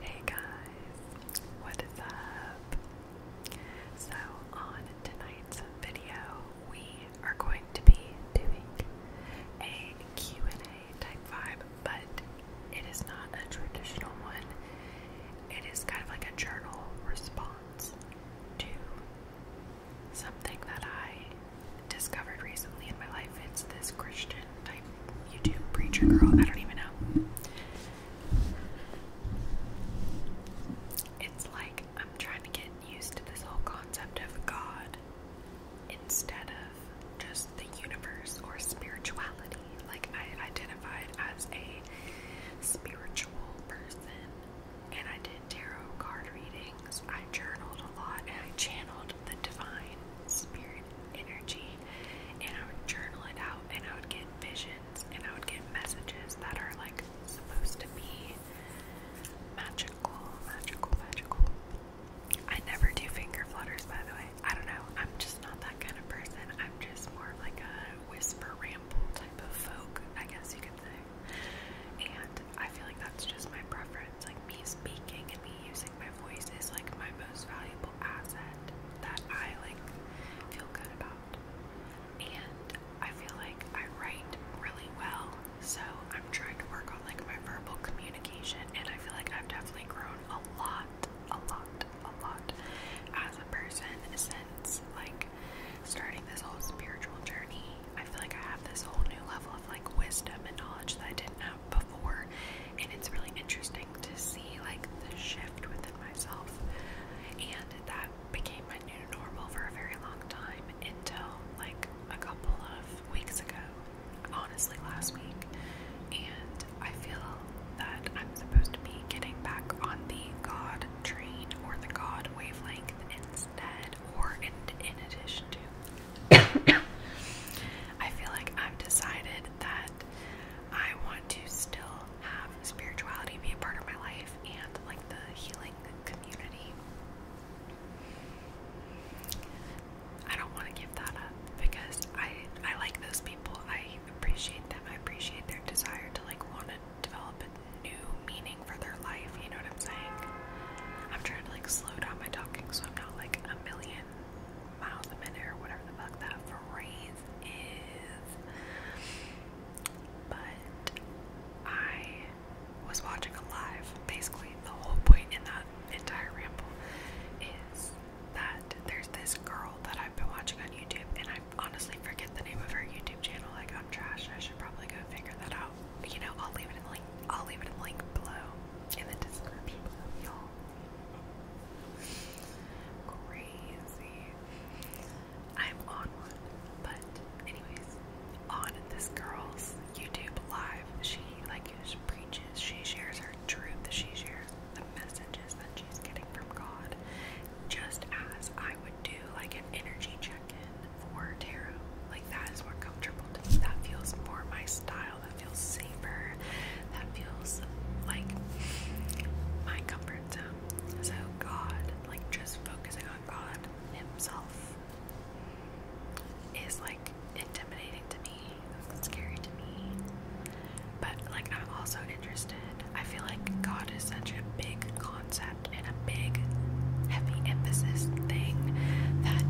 Hey guys, what is up? So, on tonight's video, we are going to be doing a Q&A type vibe, but it is not a traditional one. It is kind of like a journal response to something that I discovered recently in my life. It's this Christian YouTube preacher girl. I don't even know. It's like I'm trying to get used to this whole concept of God instead of just the universe or spirituality. Like, I identified as a spiritual person and I did tarot card readings. I journaled a lot and I channeled the divine spirit energy me and I would journal it out and I would get visions and I would get messages that are like supposed to be magical, magical, magical. I never do finger flutters by the way. I don't know. I'm just not that kind of person. I'm just more of like a whisper ramble type of folk, I guess you could say. And I feel like that's just my preference. Like me speaking and me my voice is like my most valuable asset that I like feel good about. And I feel like I write really well, so I'm trying to work on like my verbal communication and I feel like I've definitely grown a lot, a lot, a lot as a person since like starting this whole spiritual journey. I feel like I have this whole new level of like wisdom and knowledge that I didn't have before, and it's really interesting to see like the shift within myself. And that became my new normal for a very long time until like a couple of weeks ago, honestly, last week. And I feel that I'm supposed to be getting back on the God train or the God wavelength instead, or in, in addition to. I feel like I've decided that I want to still have spirituality be a part of my life and like the healing community. I don't want to give that up because I I like those people. I appreciate them. I appreciate their desire to like want to develop a new meaning for their life. You know what I'm saying? I'm trying to like slow down my talking so I'm not like a million miles a minute or whatever the fuck that phrase is. But I was watching a live. Basically, the whole point in that entire ramble is that there's this girl that I've been watching on YouTube, and I honestly forget the name of her YouTube channel. Like, I'm trash. I should probably go figure that out. You know, I'll leave it in the link. I'll leave it in the link below in the description y'all. Crazy. I'm on one, but anyways, on this girl's YouTube live, she like just preaches, she shares her truth, that she shares the messages that she's getting from God, just as I would do like an energy check-in for tarot. Like that is more comfortable to me. That feels more my style that feels safer, that feels like my comfort zone. So, God, like just focusing on God Himself is like intimidating to me, scary to me. But, like, I'm also interested. I feel like God is such a big concept and a big, heavy emphasis thing that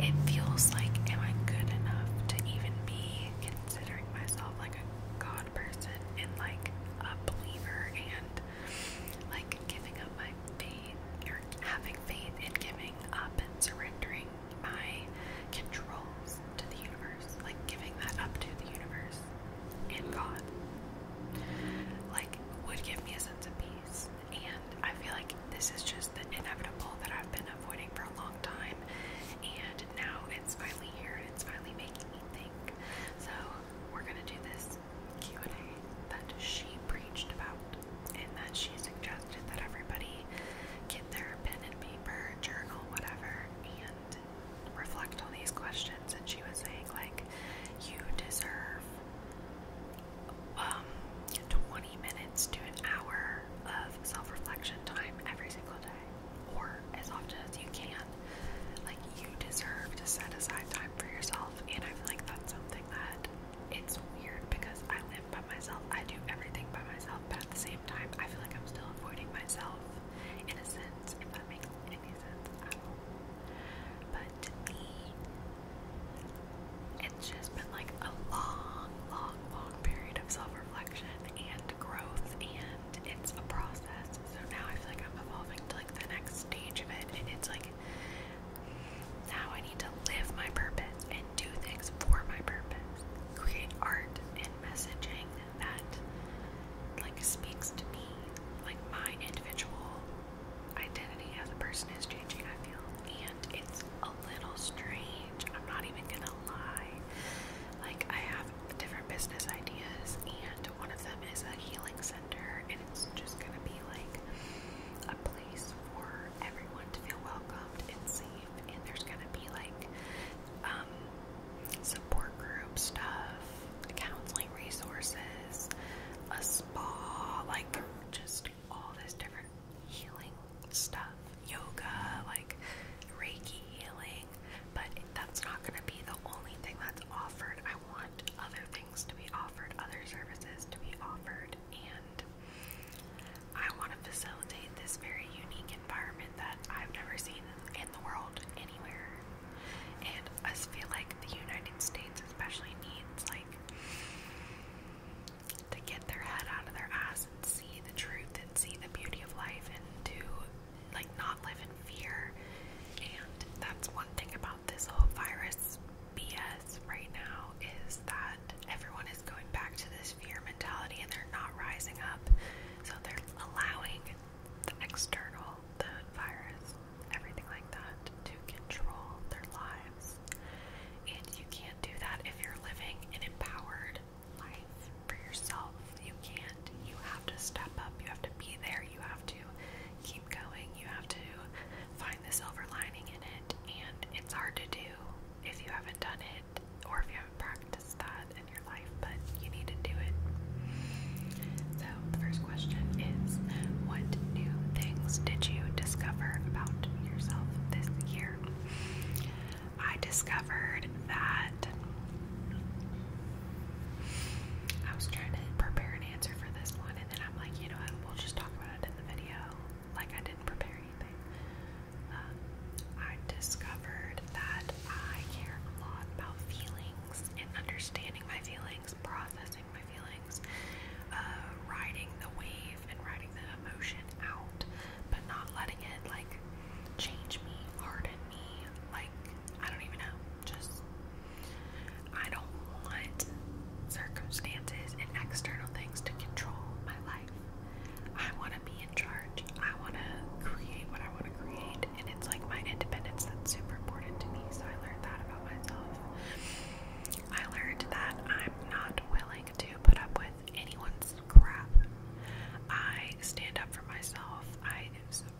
it feels like, am I good enough to even be considering myself like a God person and like a believer and like giving up my faith or having faith in giving up and surrendering my controls to the universe, like giving that up to the universe and God, like would give me a sense of peace. And I feel like this is just the inevitable that I've been avoiding for a long time, and now it's finally here it's finally making me think. So we're gonna do this Q&A that she preached about, and that she suggested that everybody get their pen and paper, journal, whatever, and reflect on these questions. And she was saying like, you deserve um, 20 minutes to an hour of self reflection time every single day, or as often as you can. Like, you deserve to set aside time for yourself, and I feel like that's something that it's weird because I live by myself, I do everything by myself, but at the same time, I feel like I'm still avoiding myself in a sense, if that makes any sense at all. But me, it's just been like a long, long, long period of self reflection and growth, and it's a process. So now I feel like I'm evolving to like the next stage of it, and it's like now I need to live my purpose and do things for my purpose, create art and messaging that like speaks to me, like my individual identity as a person is changing, I feel. And it's a little strange. I'm not even gonna lie. Like, I have different business ideas, and one of them is a healing center, and it's just gonna be like a place for everyone to feel welcomed and safe. And there's gonna be like um, support group stuff, counseling resources, a spa, like just all this different healing stuff, yoga, like Reiki healing, but that's not going to be the only thing that's offered. I want other things to be offered, other services to be offered, and I want to facilitate this very unique environment that I've never seen in the world anywhere. And I feel like the United States especially needs like to get their head out of their ass and see the truth and see the beauty of life and to like not live in fear. And that's one thing about this whole virus BS right now is that everyone is going back to this fear mentality and they're not rising up. So they're allowing the external, the virus, everything like that to control their lives. And you can't do that if you're living an empowered life for yourself. You can't. You have to step up. You have to be there. You have to keep going. You have to find the silver lining in it. And it's hard to do if you haven't done it or if you haven't practiced that in your life, but you need to do it. So, the first question is what new things did you discover about yourself this year? I discovered that I was trying to prepare an answer for this one, and then I'm like, you know what, we'll just talk about it in the video. Like, I didn't prepare anything. Um, I discovered that I care a lot about feelings and understanding my feelings, processing my feelings, uh, riding the wave and riding the emotion out, but not letting it like change me, harden me. Like, I don't even know. Just, I don't want circumstances and external things to control my life. I want to be in charge. I want to create what I want to create. And it's like my independence that's super important to me. So I learned that about myself. I learned that I'm not willing to put up with anyone's crap. I stand up for myself. I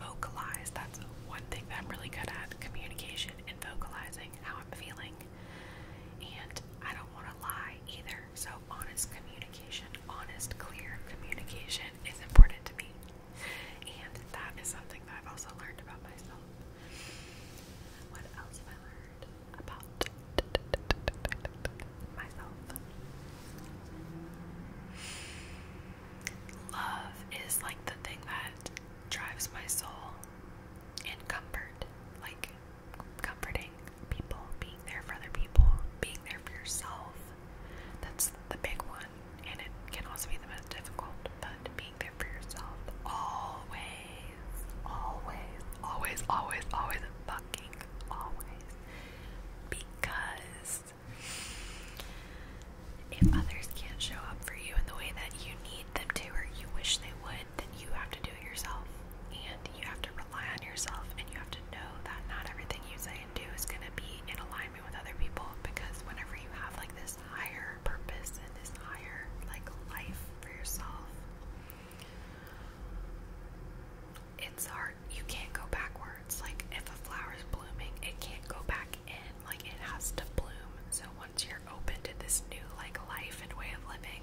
vocalize. That's one thing that I'm really good at communication and vocalizing how I'm feeling. And I don't want to lie either. So, honest communication, honest, clear communication is important to me. And that is something that I've also learned about myself. What else have I learned about myself? Love is like the thing that drives my soul and comfort, like comforting people, being there for other people, being there for yourself. That's the big one, and it can also be the most difficult, about being there for yourself always, always, always, always, always, fucking always. Because if others can't show up for you in the way that you need them to or you wish they would, then you have to do it yourself. And you have to rely on yourself and you have to know that not everything you say and do is going to be in alignment with other people because whenever you have like this higher purpose and this higher like life for yourself. It's hard. You can't go backwards. Like if a flower is blooming, it can't go back in. Like it has to bloom. So once you're open to this new like life and way of living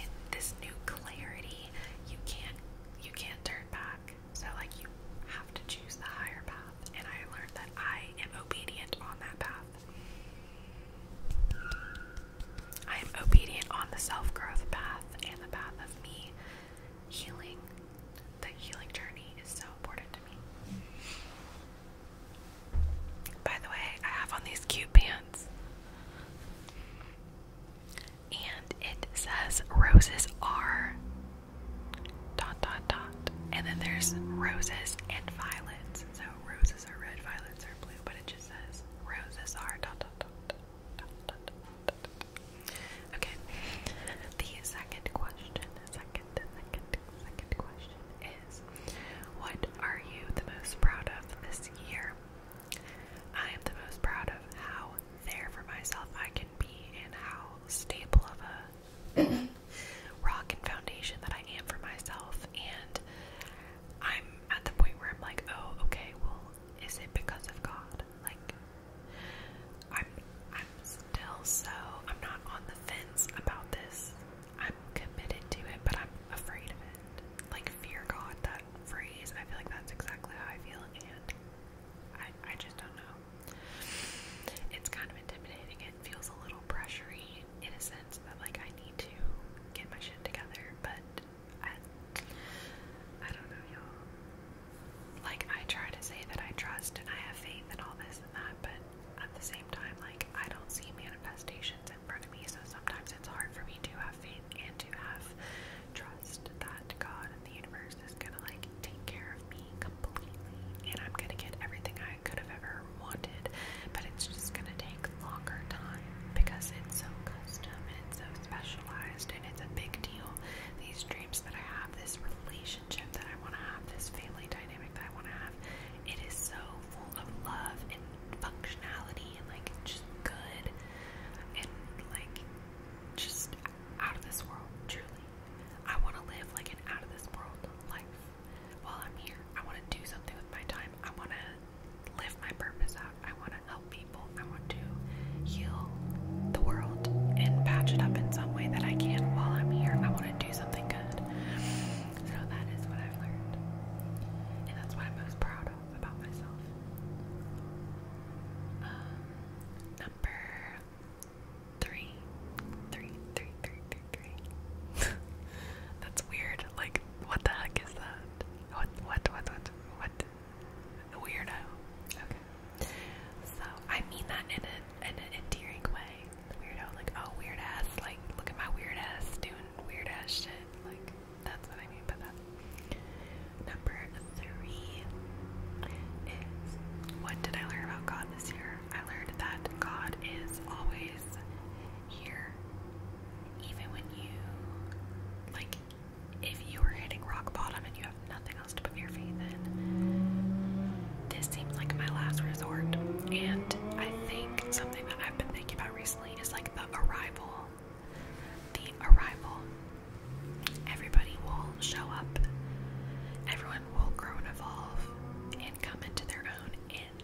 and this new clarity, you can't you can't turn back. So like you have to choose the higher path. And I learned that I am obedient on that path. I am obedient on the self growth path and the path of me healing. The healing journey is so important to me. By the way, I have on these cute pants. And it says roses are dot dot and then there's roses and violets. So roses are red, violets are blue, but it just says roses are dot dot dot. dot, dot, dot. Okay. The second question, second, second, second question is what are you the most proud of this year? I am the most proud of how there for myself I can be and how stable of a rock and foundation that I am for myself. And I'm at the point where I'm like, oh, okay, well, is it because of God? Like, I'm, I'm still so, I'm not on the fence about this. I'm committed to it, but I'm afraid of it. Like, fear God, that phrase, I feel like that's exactly how I feel, and I, I just don't know. It's kind of intimidating. It feels a little pressury in a sense that like I need to get my shit together, but I don't know y'all. Like I try to say that I trust and I have faith in all this and that, but at the same time like I don't see manifestations in front of me, so sometimes it's hard for me to have faith and to have trust that God and the universe is gonna like take care of me completely, and I'm gonna get everything I could have ever wanted, but it's just gonna take longer time because it's so custom and it's so specialized and it's a big deal. These dreams that I have, this relationship that I wanna have, this family dynamic that I wanna have, it is so full of love and functionality and like just good and like just out of this world, truly. I want to live like an out of this world life while I'm here. I want to do something with my time. I want to live my purpose out. I want to help people. I want to heal the world and patch it up in some way that I can while I'm here. I want to do something good. So that is what I've learned. And that's what I'm most proud of about myself. Um, number three, three, three, three, three, three. That's weird. Like, what the heck is that? What, what, what, what, what? Weirdo. Okay. So I mean that in an in an endearing way. Weirdo, like oh weird ass, like look at my weird ass doing weird ass shit. Like that's what I mean by that. Number three is what did I learn about God this year? I learned that God is always here. Even when you, like, if you are hitting rock bottom and you have nothing else to put your faith in, this seems like my last resort. And I think something that I've been thinking about recently is like the arrival. The arrival. Everybody will show up. Everyone will grow and evolve and come into their own in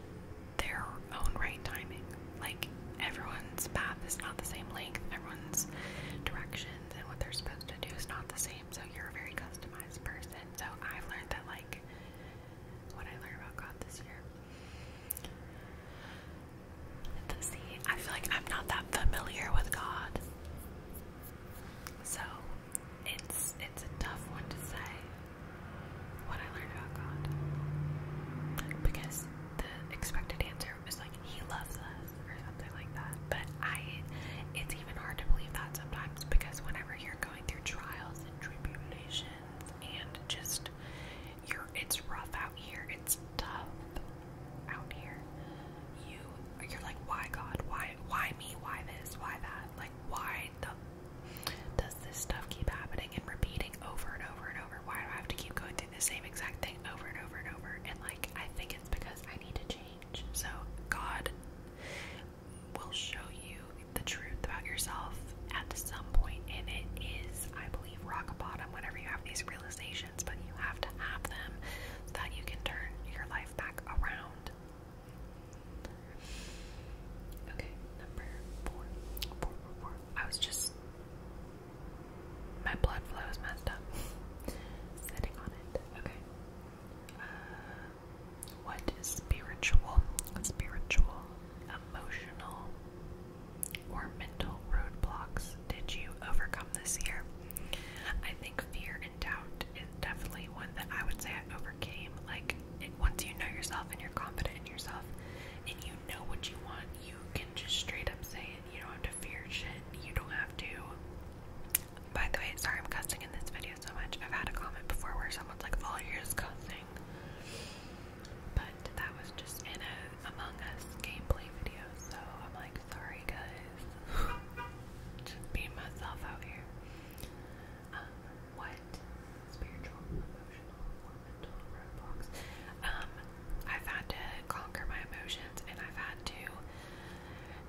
their own right timing. Like everyone's path is not the same length, everyone's directions and what they're supposed to do is not the same. So you're a very customized person. So I've learned that like what I learned about God this year. The see, I feel like I'm not that familiar with God. So it's it's a tough one to say what I learned about God because the expected answer was like he loves us or something like that. But I it's even hard to believe that sometimes because whenever you're going through trials and tribulations and just you're it's rough out here, it's tough out here you you're like why God why why me why this why that like why does this stuff keep happening and repeating over and over and over why do I have to keep going through the same exact thing over and over and over and like I think it's because I need to change so God will show you the truth about yourself at some point and it is I believe rock bottom whenever you have these realizations but you have to have them that you can turn your life back around round. Okay, number four. Four, four, four. I was just. My blood flow is messed up. Sitting on it. Okay. Uh, spiritual? Spiritual, emotional, or mental roadblocks did you overcome? this year. I think fear and doubt is definitely one that I would say I overcame. Like, once you know yourself and you're confident in yourself and you know what you want, you can just straight up say it. You don't have to fear shit. You don't have to. By the way, sorry I'm cussing in this video so much. I've had a comment before where someone's like, all oh, you're just cussing. But that was just in a Among Us gameplay video, so I'm like, sorry guys. Just being myself out here. Um, what spiritual, emotional, or mental roadblocks? Um, I've had to conquer my emotions and I've had to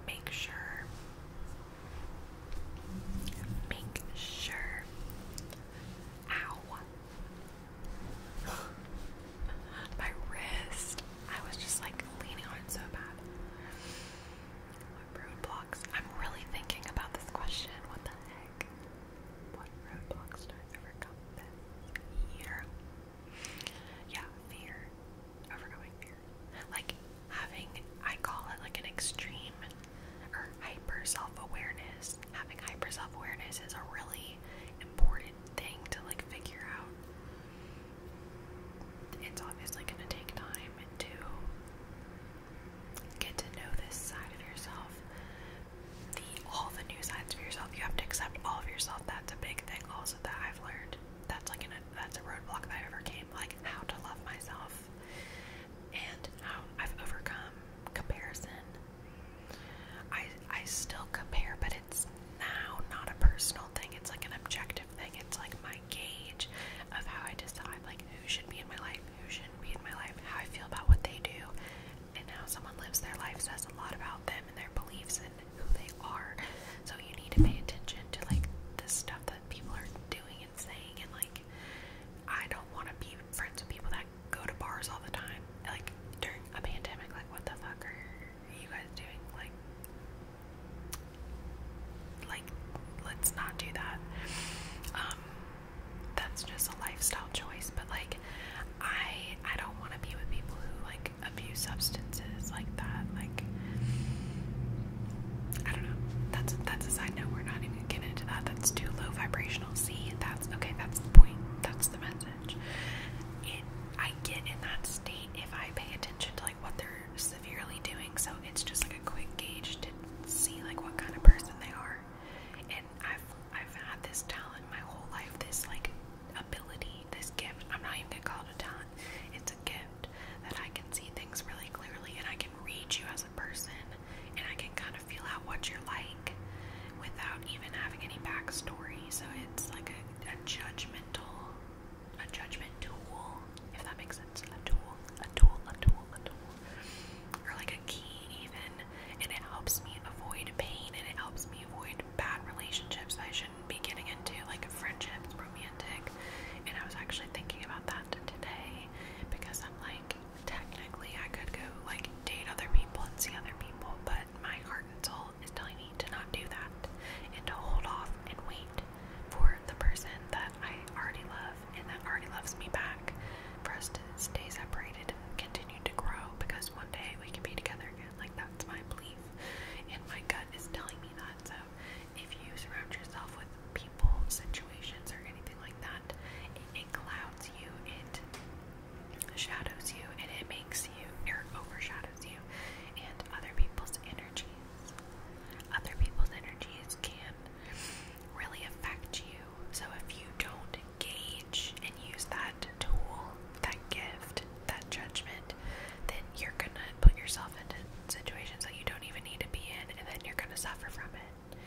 make sure make sure ow my wrist I was just like leaning on it so bad. What roadblocks? I'm really thinking about this question. What the heck? What roadblocks do I overcome this Yeah, fear. Overcoming fear. Like having, I call it like an extreme or hyper self awareness. Having hyper self awareness is a really important thing to like figure out it's obviously going to take time to get to know this side of yourself. all the new sides of yourself. You have to accept all of yourself. That's a big thing also that I've learned. That's like an that's a roadblock that I overcame, like how to love myself and how I've overcome comparison. I I still compare, but it's now not a personal mental thing, it's like an objective thing, it's like my gauge of how I decide like who should be in my life, who shouldn't be in my life, how I feel about what they do, and how someone lives their life says a lot about them and their beliefs and who they are. So you need to pay attention to like the stuff that people are doing and saying and like I don't want to be friends with people that go to bars all the time. Like during a pandemic, like what the fuck are you guys doing? Like, like, let's not do that. Um, that's just a lifestyle choice. But like, I I don't want to be with people who like abuse substances like that. Like, I don't know. That's that's a side note. We're not even getting into that. That's too low vibrational. See, that's okay. That's the point. That's the message. It I get in that state if I pay attention to like what they're severely doing. So it's just like a quick gauge to see like what kind of person they are. And I've I've had this talent my whole life, this like ability, this gift. I'm not even gonna call it a talent. It's a gift that I can see things really clearly and I can read you as a person and I can kind of feel out what you're like without even having any backstory. So it's like a judgment judgmental, a judgment tool, if that makes sense. A tool, a tool, a tool, a tool, or like a key even, and it helps me avoid pain and it helps me avoid bad relationships I shouldn't be getting into, like friendships, romantic. And I was actually thinking about that today because I'm like, technically I could go like date other people and see other people, but my heart and soul is telling me to not do that and to hold off and wait for the person that I already love and that already loves me back for us to stay separated and continue to grow because one day we can be together again. Like, that's my belief, and my gut is telling me that. So, if you surround yourself with people, situations, or anything like that, it, it clouds you, it shadows you and it makes you It overshadows you and other people's energies. Other people's energies can really affect you. So if you don't gauge and use that tool, that gift, that judgment, then you're gonna put yourself into situations that you don't even need to be in and then you're gonna suffer from it.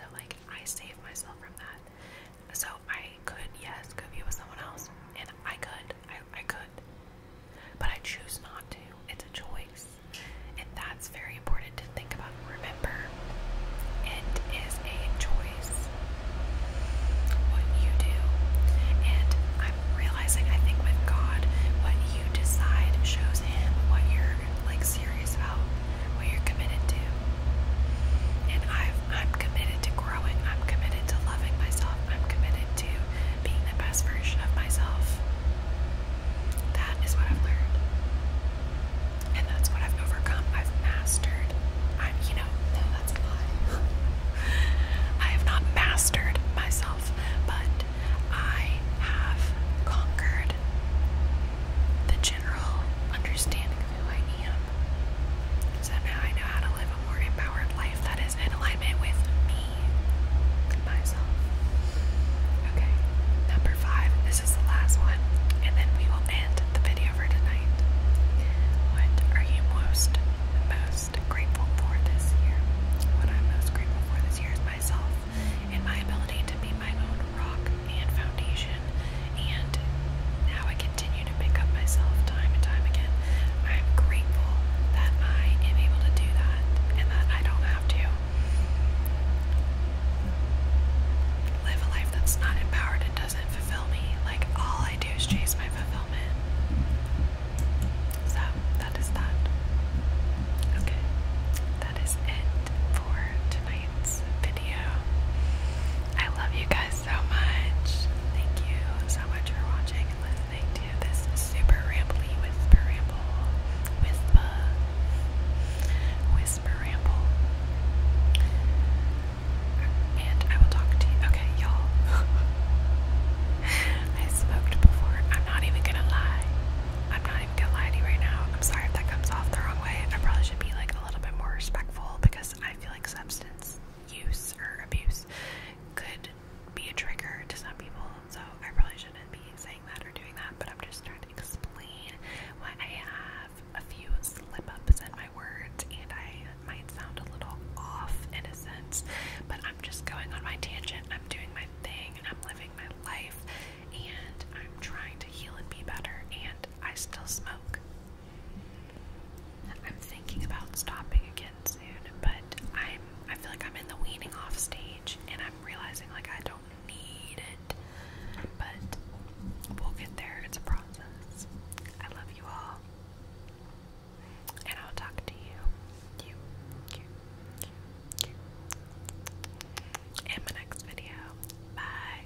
So like I save myself from that. So I could, yes, go be with someone else, and I could, I, I could, but I choose not to. It's a choice, and that's very important to think about. Remember, it is a choice what you do, and I'm realizing I think with God, what you decide shows Him what you're like serious about, what you're committed to, and I've I'm committed to growing. I'm committed to loving myself. I'm committed to being the best version of myself. That is what I've learned. And that's what I've overcome. I've mastered. I'm, you know, no, that's a lie. I have not mastered myself, but I have conquered the general understanding of who I am. So now I know how to live a more empowered life that is in alignment with me, myself. Okay, number five. This is the last one, and then we will end the video for tonight. What are you most, most grateful for this year? What I'm most grateful for this year is myself and my ability to be my own rock and foundation and now I continue to pick up myself time and time again. I'm grateful that I am able to do that and that I don't have to live a life that's not empowered and doesn't fulfill me. Like, all I do is chase my fulfillment. So, that is that. Okay, that is it for tonight's video. I love you guys so much. Thank you so much for watching and listening to this super rambly whisper ramble. Whisper. Whisper ramble. And I will talk to you. Okay, y'all. I smoked before. I'm not even gonna lie. I'm not even gonna lie to you right now. I'm sorry if that comes off the wrong way. I probably should be like a little bit more respectful because I feel like substance use or abuse could be a trigger to some people. So I probably shouldn't be saying that or doing that, but I'm just trying to explain why I have a few slip ups in my words and I might sound a little off in a sense, but I'm just going on my tangent. I'm doing my thing, and I'm living my life, and I'm trying to heal and be better, and I still smoke. I'm thinking about stopping again soon, but I'm I feel like I'm in the weaning off stage and I'm realizing like I don't need it. But we'll get there. It's a process. I love you all. And I'll talk to you. In my next video. Bye.